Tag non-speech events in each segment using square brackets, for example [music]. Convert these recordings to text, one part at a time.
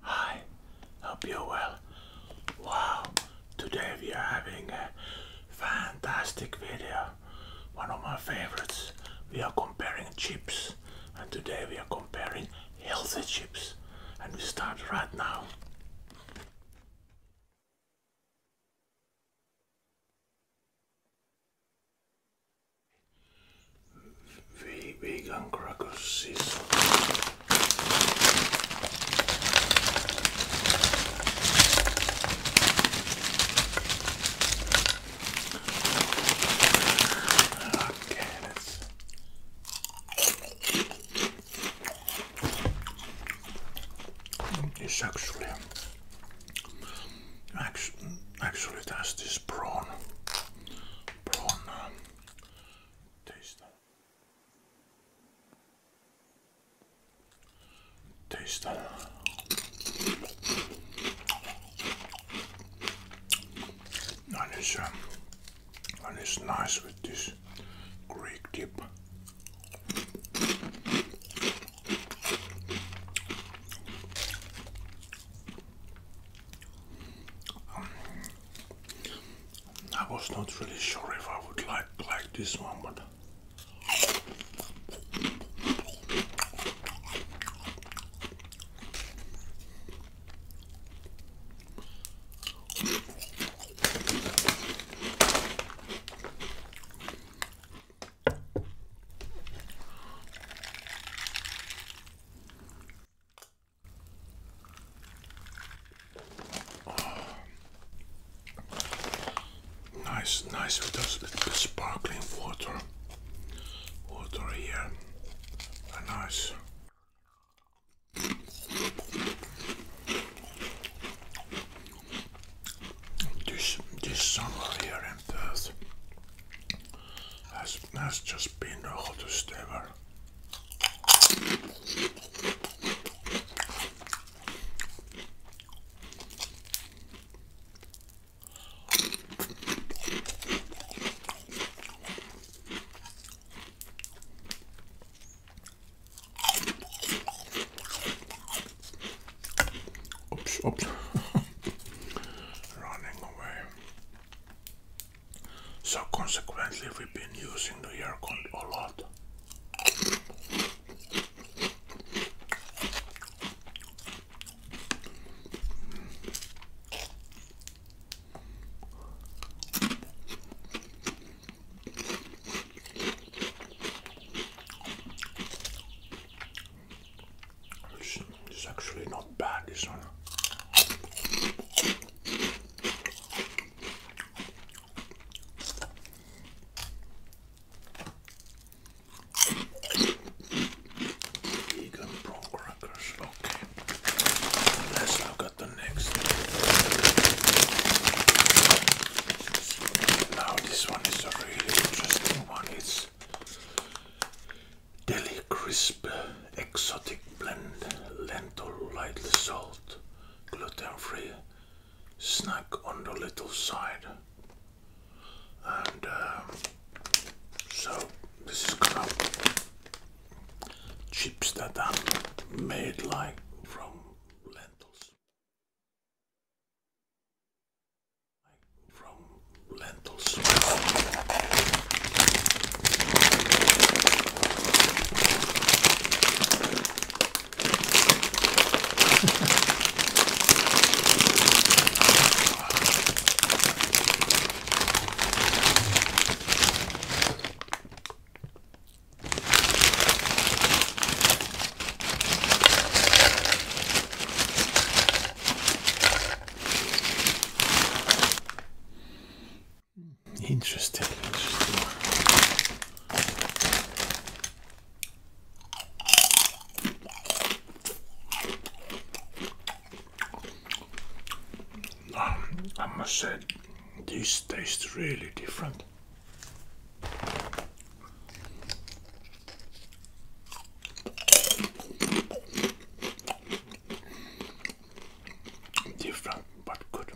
Hi, hope you're well. Wow, today we are having a fantastic video. One of my favorites. We are comparing chips and today we are comparing healthy chips and we start right now vegan crackers season. Okay, that's mm, it's actually Actually, actually this prawn, prawn um, taste. that. And it's, um, and it's nice with this Greek dip. I was not really sure if I would like like this one, but Nice, nice with those little sparkling water. Water here. nice. This this summer here in Perth has has just been the hottest ever. Oops, oops. [laughs] Running away. So consequently, we've been using the aircon a lot. It's, it's actually not bad, this one. Vegan crackers. Okay, let's look at the next. Now this one is a really interesting one. It's Deli Crisp Exotic Blend Lentil Lightly Salt Gluten Free Snack on the Little Side. And um, so this is chips that are made like from lentils from lentils. Interesting, interesting. Um, I must say, these taste really different. Different but good.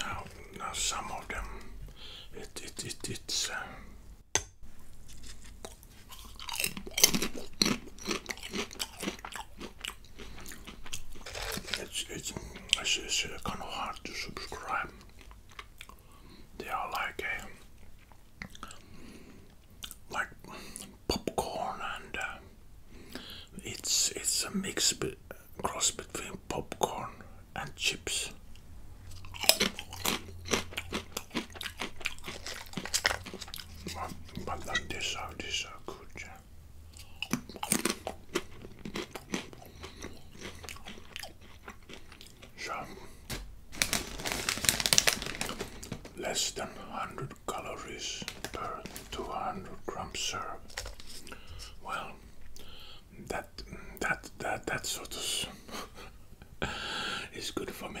Now, now some of them, it it it it's. Uh, it's, it's, kind of hard to subscribe. They are like a, like popcorn and uh, it's it's a mix cross between popcorn and chips. But, but this so good. So, less than 100 calories per 200 grams served. Well, that that that that sort of [laughs] is good for me.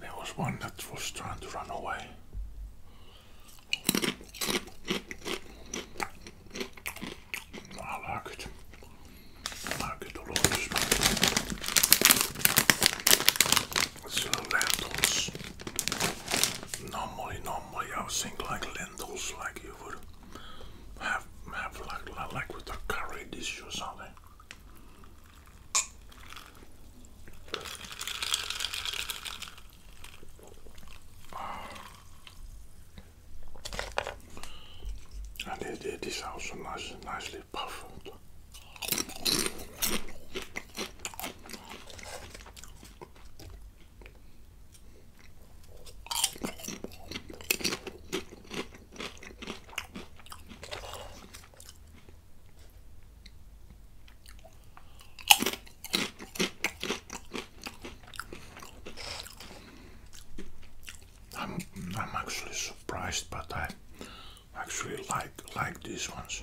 There was one that was trying to run away. I like it. I like it a lot. It's lentils. Normally, normally I would think like lentils, like you would have have like like with a curry dish or something. And it, it is also nice, nicely puffed. I'm I'm actually surprised, but I actually like like these ones.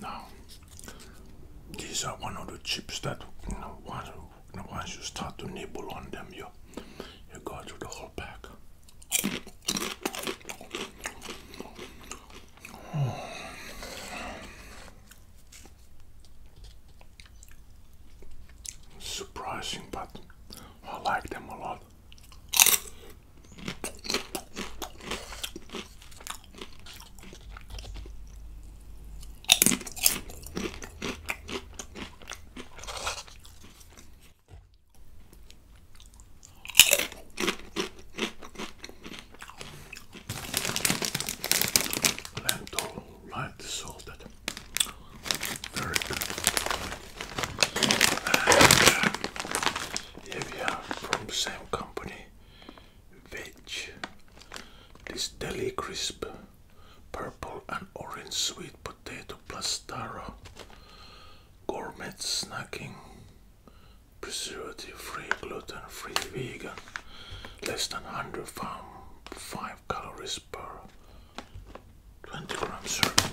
Now, these are one of the chips that once, you start to nibble on them, you, you go through the whole pack. Surprising, but I like them a lot. Lentil, light very good. And, uh, from the same company veg. This deli crisp, purple and orange sweet potato plus taro. Gourmet snacking, preservative free, gluten free, vegan, less than 100 farm, 5 calories per 20 grams serving.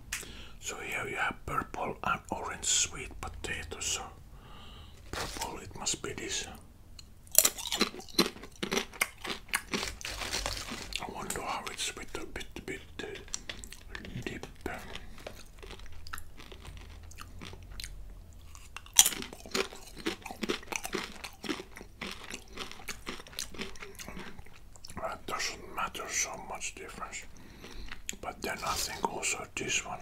So here you have purple and orange sweet potatoes. So purple it must be this. I wonder how it's a bit a bit uh, it doesn't matter so much difference. But then I think also this one,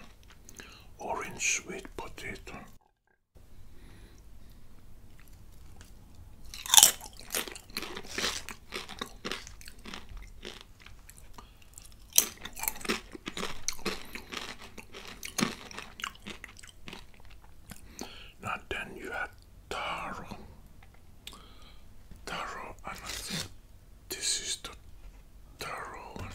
orange sweet potato. Now then you had taro taro and this is the taro one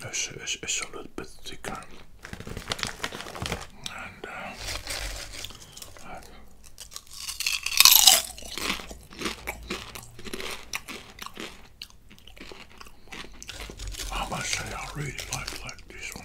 it's, a little bit thicker uh, I must say I really like like these ones.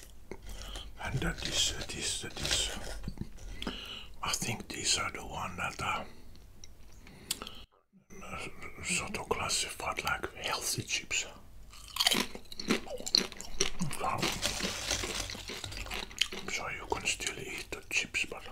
and uh, this, uh, this, this. I think these are the one that are sort of classified like healthy chips. I'm so you can still eat the chips, but.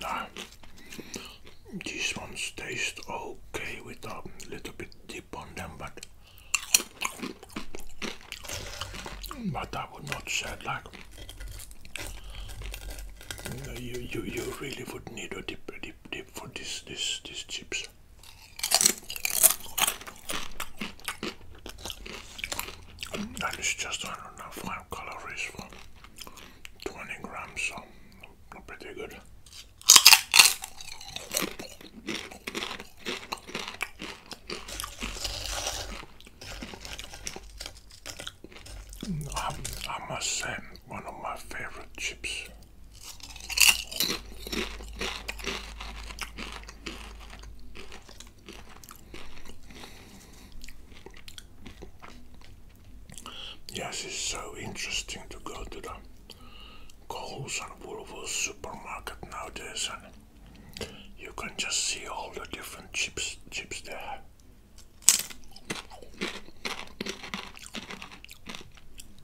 Now, these ones taste okay with a little bit dip on them, but but I would not say like you you you really would need a dip dip dip for this this this chips. That is just I do calories for twenty grams, so pretty good. Mm, I, I must say one of my favorite chips. Yes, it's so interesting to go to the Coles and Woolworths supermarket nowadays and you can just see all the different chips chips there.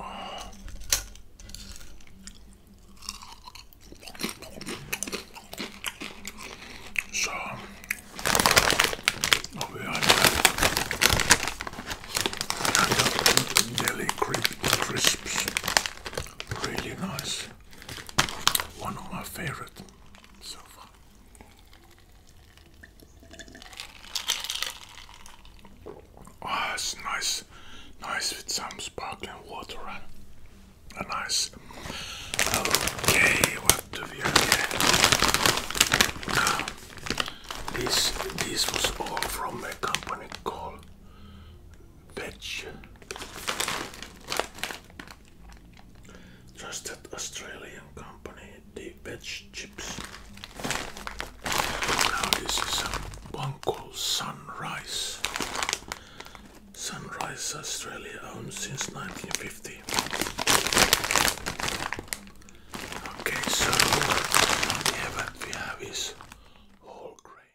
Oh. So, I'll be honest, deli crisps, really nice, one of my favorite so far. Oh, it's nice, nice with some sparkling water and a nice. Okay, what do we have? Now, ah, this this was all from a company called Veg. Just that Australian company the veg chips. Now this is one called Sunrise. Sunrise Australia owned since 1950. Okay, so here what we have is whole grain.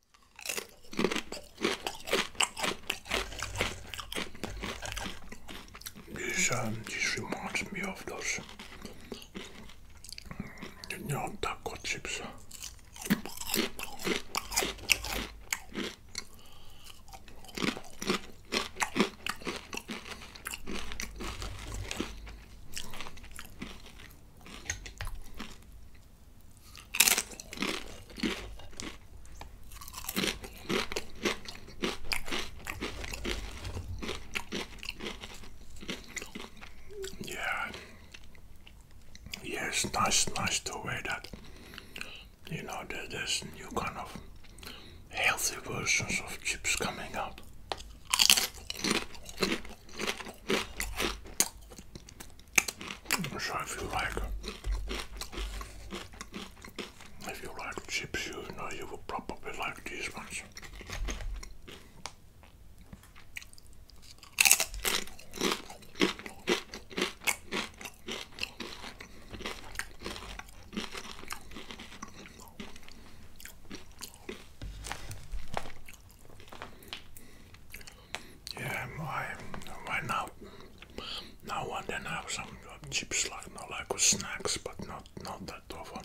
This, um, this reminds mi of those you know, taco chips. Yeah. Yes, nice, nice to wear that. You know, there, there's new kind of healthy versions of chips coming out. So if you like, if you like chips, you know you will probably like these ones. Yeah, why, why now? Now and then I have some uh, chips, like not like with snacks, but not not that often.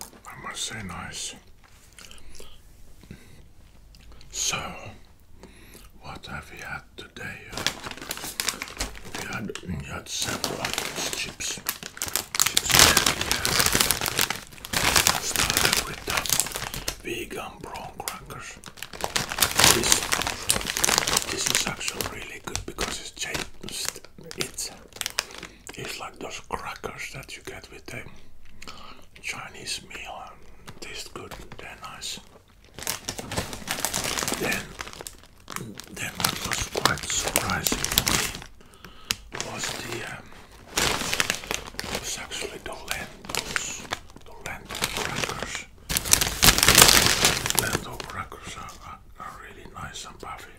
I must say nice. So, what have we had today? We had, we had several items, chips. Chips I started with vegan prawn crackers. This, this is actually really good because it's, it's it's like those crackers that you get with the Chinese meal and taste good, they're nice. Then then what was quite surprising for me was the um, was actually the lentils, the lentil crackers. Lentil crackers are are, really nice and puffy.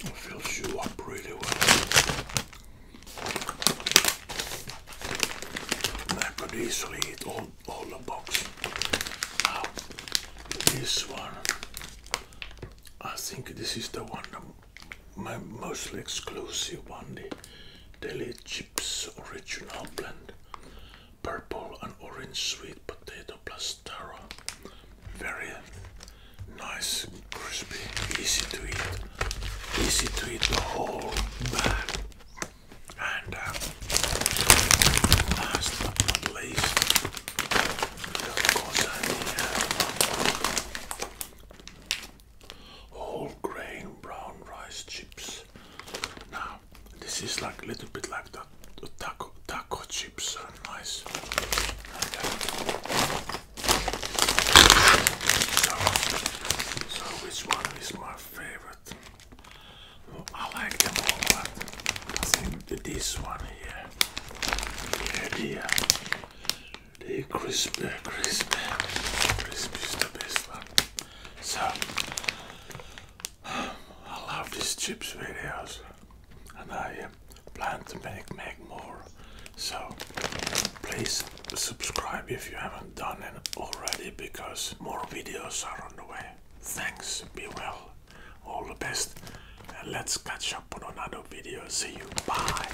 It you up really well. I could easily eat all, all the box. this one, I think this is the one, my mostly exclusive one, the, the Chips Original Blend Purple and Orange Sweet Potato Plus Taro. Very nice, crispy, easy to eat. Easy to eat the whole bag. And uh, last but not least, of course I whole grain brown rice chips. Now, this is like a little bit like the taco taco chips are uh, nice. So, which one is my favorite? I like them all, but I think this one here, yeah, they're crispy, crispy, eh, crispy eh. is the best one. So, [sighs] I love these chips videos and I uh, plan to make, make more. So, please subscribe if you haven't done it already because more videos are on the way. Thanks, be well, all the best, and let's catch up on another video. See you, bye.